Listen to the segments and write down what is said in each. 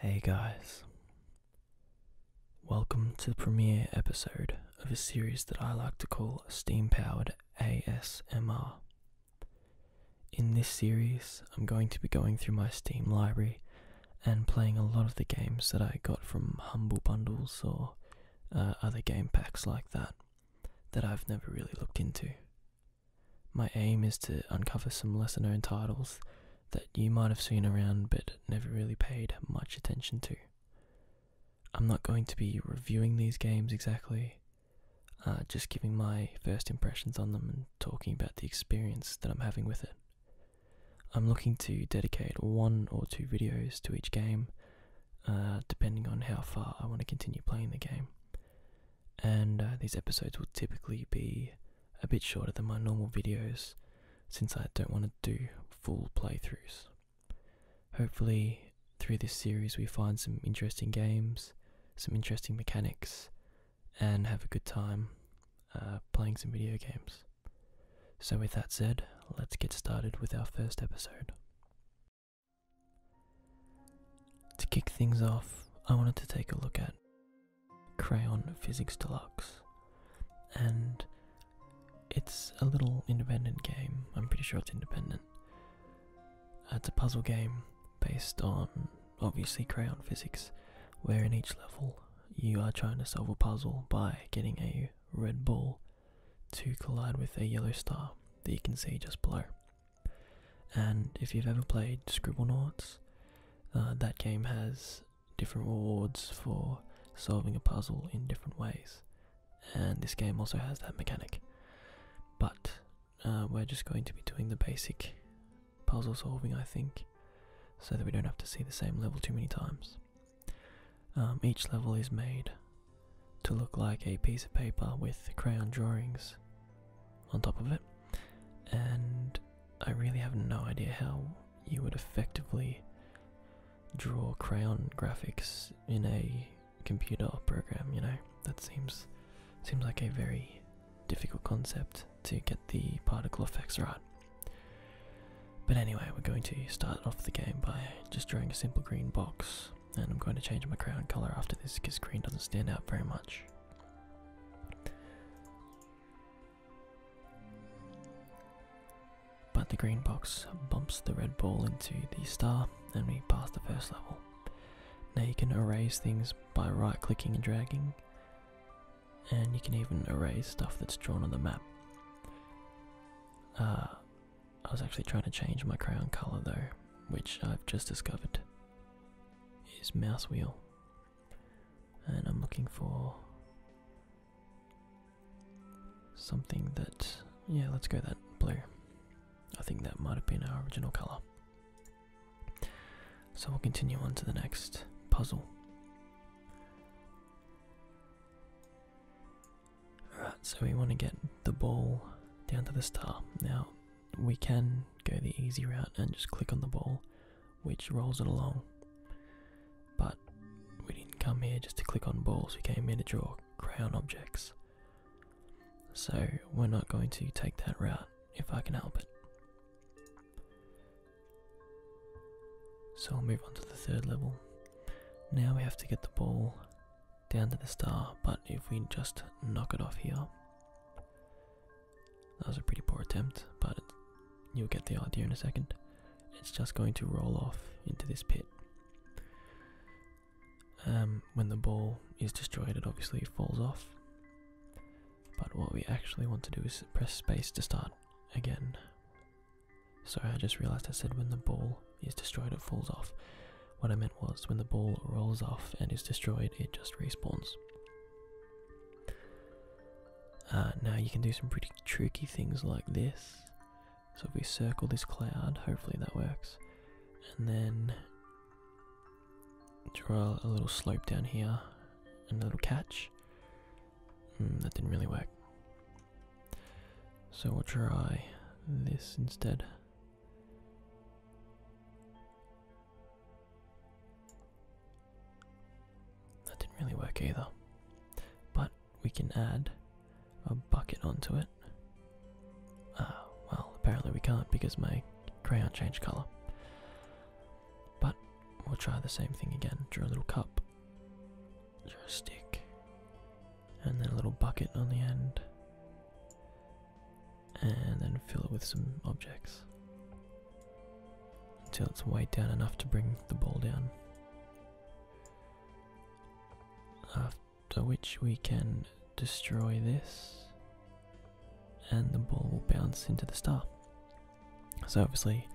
Hey guys, welcome to the premiere episode of a series that I like to call Steam Powered ASMR. In this series, I'm going to be going through my Steam library and playing a lot of the games that I got from Humble Bundles or uh, other game packs like that that I've never really looked into. My aim is to uncover some lesser known titles that you might have seen around but never really paid much attention to. I'm not going to be reviewing these games exactly, uh, just giving my first impressions on them and talking about the experience that I'm having with it. I'm looking to dedicate one or two videos to each game, uh, depending on how far I want to continue playing the game. And uh, these episodes will typically be a bit shorter than my normal videos, since I don't want to do full playthroughs. Hopefully, through this series, we find some interesting games, some interesting mechanics, and have a good time uh, playing some video games. So, with that said, let's get started with our first episode. To kick things off, I wanted to take a look at Crayon Physics Deluxe. And it's a little independent game. I'm pretty sure it's independent. It's a puzzle game based on obviously crayon physics, where in each level you are trying to solve a puzzle by getting a red ball to collide with a yellow star that you can see just below. And if you've ever played Scribblenauts, uh, that game has different rewards for solving a puzzle in different ways and this game also has that mechanic. But uh, we're just going to be doing the basic puzzle solving, I think, so that we don't have to see the same level too many times. Um, each level is made to look like a piece of paper with crayon drawings on top of it, and I really have no idea how you would effectively draw crayon graphics in a computer program, you know? That seems seems like a very difficult concept to get the particle effects right. But anyway, we're going to start off the game by just drawing a simple green box, and I'm going to change my crayon color after this because green doesn't stand out very much. But the green box bumps the red ball into the star, and we pass the first level. Now you can erase things by right clicking and dragging, and you can even erase stuff that's drawn on the map. Uh, I was actually trying to change my crayon colour though, which I've just discovered is mouse wheel. And I'm looking for Something that, yeah, let's go that blue. I think that might have been our original color. So we'll continue on to the next puzzle. Alright, so we want to get the ball down to the star. Now, we can go the easy route and just click on the ball, which rolls it along. But we didn't come here just to click on balls, we came here to draw crayon objects. So we're not going to take that route if I can help it. So i will move on to the third level. Now we have to get the ball down to the star, but if we just knock it off here, that was a pretty poor attempt, but you'll get the idea in a second it's just going to roll off into this pit. Um, when the ball is destroyed, it obviously falls off. But what we actually want to do is press space to start again. Sorry, I just realized I said when the ball is destroyed, it falls off. What I meant was when the ball rolls off and is destroyed, it just respawns. Uh, now you can do some pretty tricky things like this. So if we circle this cloud, hopefully that works. And then draw a little slope down here and a little catch. Hmm, that didn't really work. So we'll try this instead. That didn't really work either. But we can add a bucket onto it. Ah, well, apparently we can't because my crayon changed colour. But we'll try the same thing again. Draw a little cup, draw a stick, and then a little bucket on the end. And then fill it with some objects until it's weighed down enough to bring the ball down. After which we can destroy this, and the ball will bounce into the star. So, obviously,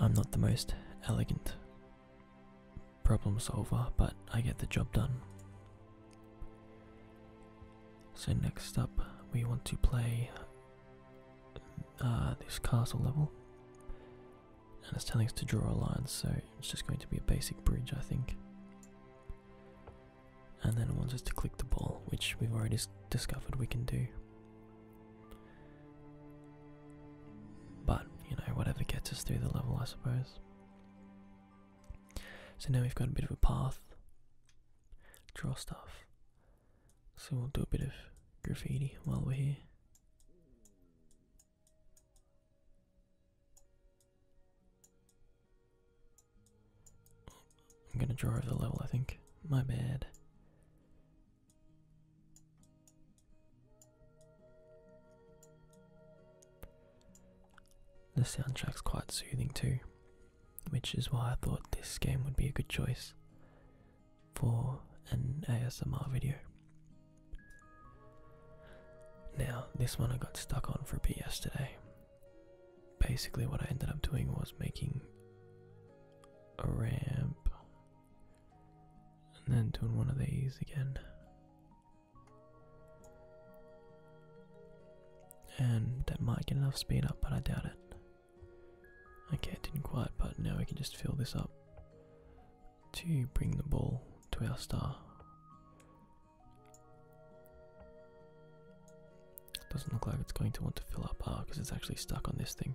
I'm not the most elegant problem solver, but I get the job done. So, next up, we want to play uh, this castle level and it's telling us to draw a line, so it's just going to be a basic bridge, I think. And then it wants us to click the ball, which we've already discovered we can do. But, you know, whatever gets us through the level, I suppose. So now we've got a bit of a path. Draw stuff. So we'll do a bit of graffiti while we're here. I'm gonna draw over the level, I think. My bad. The soundtrack's quite soothing too, which is why I thought this game would be a good choice for an ASMR video. Now, this one I got stuck on for a bit yesterday. Basically, what I ended up doing was making a ramp and then doing one of these again. And that might get enough speed up, but I doubt it. Okay, it didn't quite, but now we can just fill this up to bring the ball to our star. Doesn't look like it's going to want to fill up, ah, because it's actually stuck on this thing.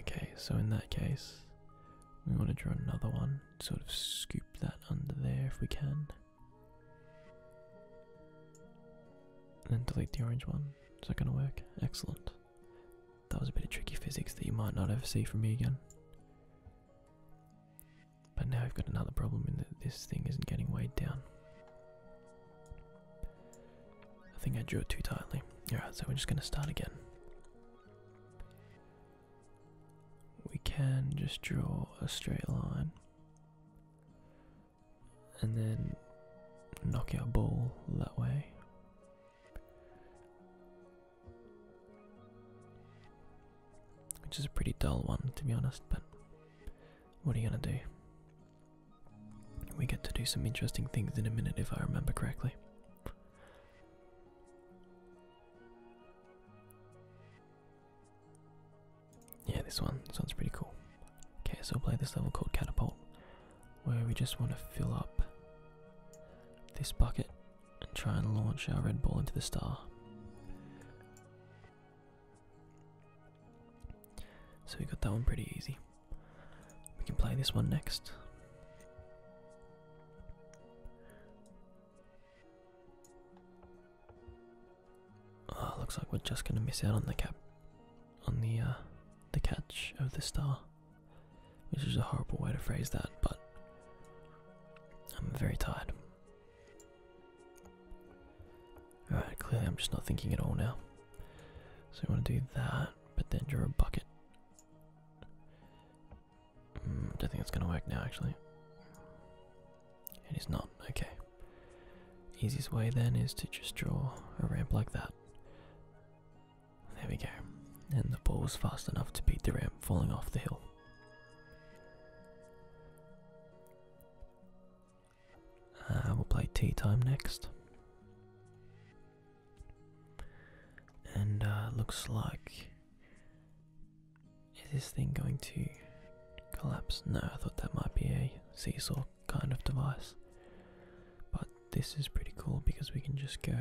Okay, so in that case, we want to draw another one, sort of scoop that under there if we can. And then delete the orange one. Is that going to work? Excellent. That was a bit of tricky physics that you might not ever see from me again. But now we've got another problem in that this thing isn't getting weighed down. I think I drew it too tightly. Alright, so we're just going to start again. We can just draw a straight line and then knock your ball that way. Which is a pretty dull one to be honest, but what are you gonna do? We get to do some interesting things in a minute if I remember correctly. Yeah, this one. sounds pretty cool. Okay, so we'll play this level called Catapult, where we just want to fill up this bucket and try and launch our red ball into the star. So we got that one pretty easy. We can play this one next. Ah, looks like we're just going to miss out on the cap on the uh, the catch of the star, which is a horrible way to phrase that, but I'm very tired. Alright, clearly I'm just not thinking at all now. So we want to do that, but then draw a bucket. Hmm, I don't think it's going to work now, actually. It is not. Okay. Easiest way then is to just draw a ramp like that. There we go. And the ball was fast enough to beat the ramp falling off the hill. Uh, we'll play tea time next. And uh, looks like. Is this thing going to collapse? No, I thought that might be a seesaw kind of device. But this is pretty cool because we can just go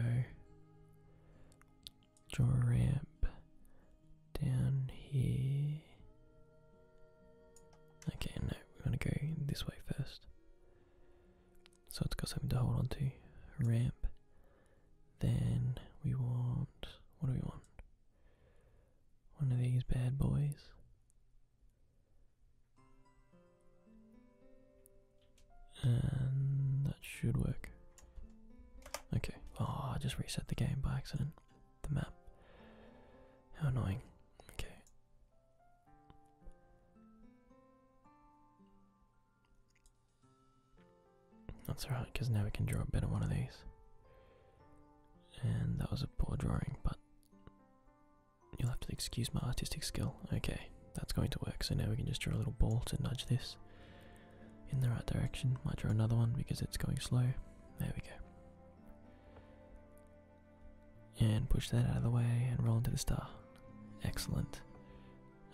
draw a ramp down here. Okay, no, we want to go this way first. So it's got something to hold on to. Ramp. Then we want. What do we want? One of these bad boys. And that should work. Okay. Oh, I just reset the game by accident. The map. How annoying. Okay. That's alright, because now we can draw a better one of these. And that was a poor drawing, but You'll have to excuse my artistic skill. Okay, that's going to work. So now we can just draw a little ball to nudge this in the right direction. Might draw another one because it's going slow. There we go. And push that out of the way and roll into the star. Excellent.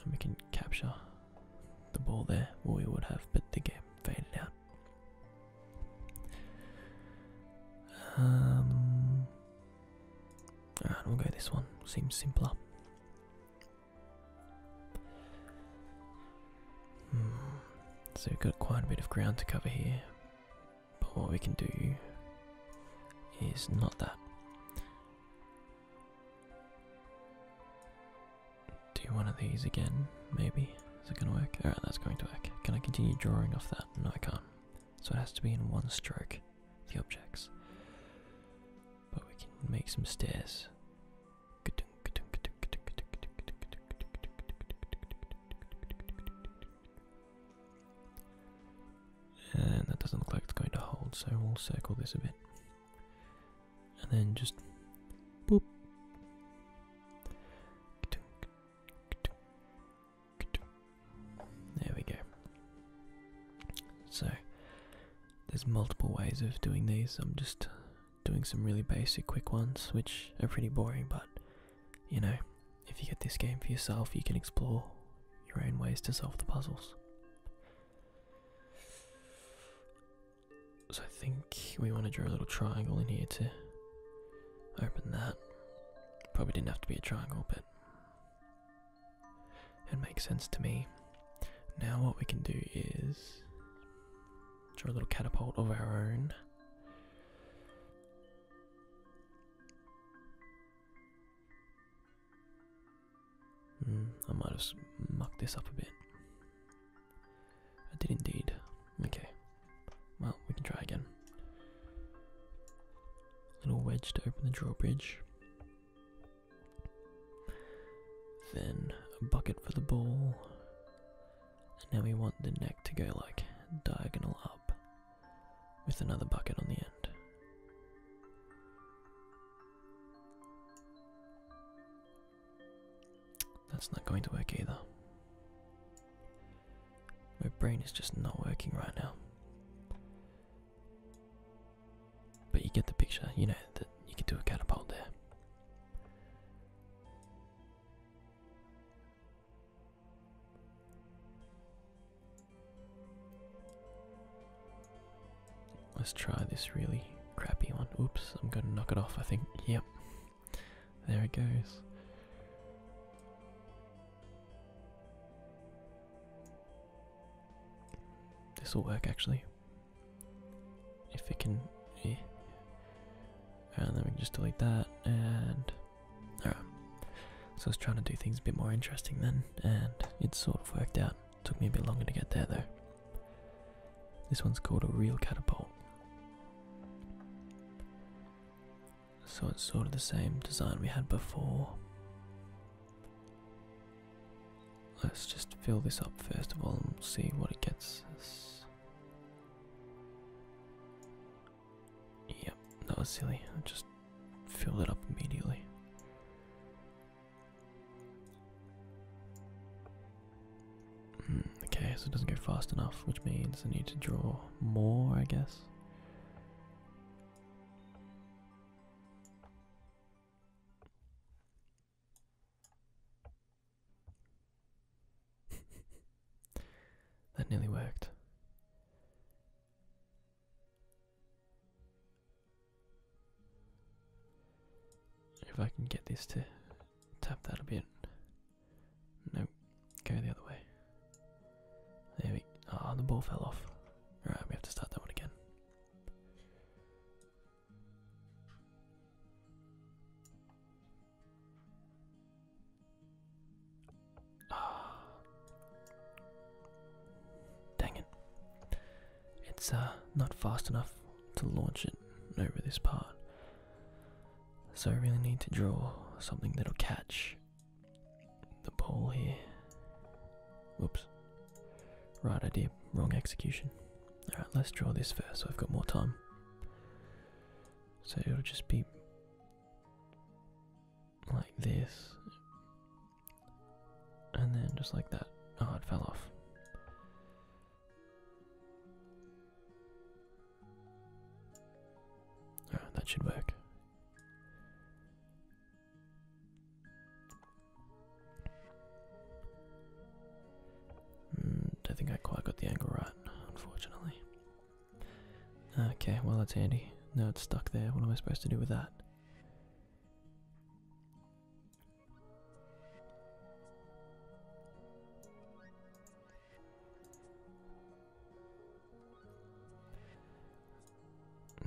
And we can capture the ball there. Well, we would have, but the game faded out. Um, ah, we'll go this one. Seems simpler. Hmm. So we've got quite a bit of ground to cover here, but what we can do is not that. Do one of these again, maybe. Is it gonna work? Alright, that's going to work. Can I continue drawing off that? No, I can't. So it has to be in one stroke, the objects. But we can make some stairs. And that doesn't look like it's going to hold, so we'll circle this a bit. And then just boop. There we go. So, there's multiple ways of doing these. I'm just doing some really basic, quick ones, which are pretty boring, but you know, if you get this game for yourself, you can explore your own ways to solve the puzzles. So I think we want to draw a little triangle in here to open that. Probably didn't have to be a triangle, but it makes sense to me. Now what we can do is draw a little catapult of our own. Hmm, I might have mucked this up a bit. I did indeed. Okay. Well, we can try again. Little wedge to open the drawbridge. Then a bucket for the ball. And now we want the neck to go like diagonal up with another bucket on the end. That's not going to work either. My brain is just not working right now. But you get the picture, you know, that you could do a catapult there. Let's try this really crappy one. Oops, I'm gonna knock it off, I think. Yep. There it goes. This will work actually. If it can. Yeah. And then we can just delete that and. Alright. So I was trying to do things a bit more interesting then, and it sort of worked out. Took me a bit longer to get there though. This one's called a real catapult. So it's sort of the same design we had before. Let's just fill this up first of all and see what it gets Yep, that was silly. I just filled it up immediately. Hmm, okay, so it doesn't go fast enough, which means I need to draw more, I guess. that nearly worked. If I can get this to tap that a bit. No, go the other way. There we Ah, the ball fell off. Alright, we have to start that one again. Ah. Dang it. It's uh, not fast enough to launch it over this part. So I really need to draw something that'll catch the pole here. Oops! Right idea, wrong execution. Alright, let's draw this first so I've got more time. So it'll just be like this. And then just like that. Oh, it fell off. Ah, that should work. I hmm, think I quite got the angle right, unfortunately. Okay, well that's handy. Now it's stuck there. What am I supposed to do with that?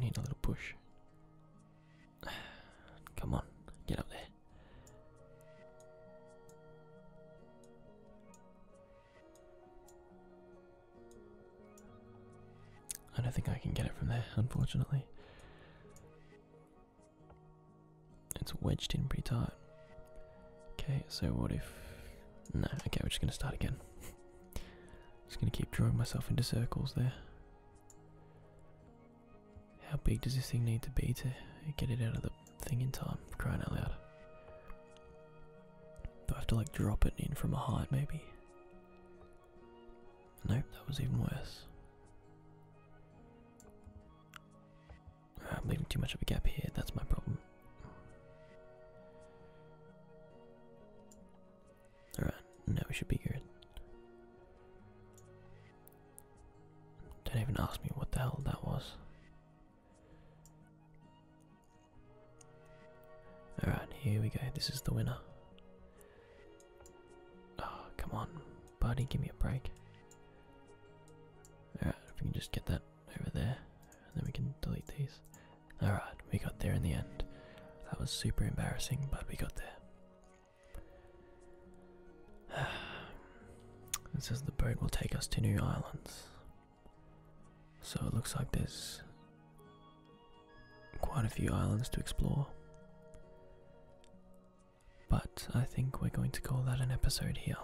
Need a little push. Come on, get up there. I don't think I can get it from there, unfortunately. It's wedged in pretty tight. Okay, so what if... No, okay, we're just going to start again. just going to keep drawing myself into circles there. How big does this thing need to be to get it out of the thing in time, crying out loud? Do I have to like drop it in from a height maybe? Nope, that was even worse. Ah, I'm leaving too much of a gap here, that's my problem. Alright, now we should be good. Don't even ask me what the hell that was. Alright, here we go. This is the winner. Oh, come on, buddy, give me a break. Alright, if we can just get that over there, then we can delete these. Alright, we got there in the end. That was super embarrassing, but we got there. It says the boat will take us to new islands. So it looks like this quite a few islands to explore. But I think we're going to call that an episode here.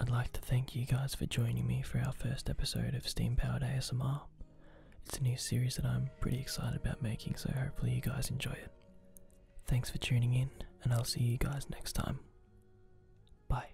I'd like to thank you guys for joining me for our first episode of Steam Powered ASMR. It's a new series that I'm pretty excited about making, so hopefully, you guys enjoy it. Thanks for tuning in, and I'll see you guys next time. Bye.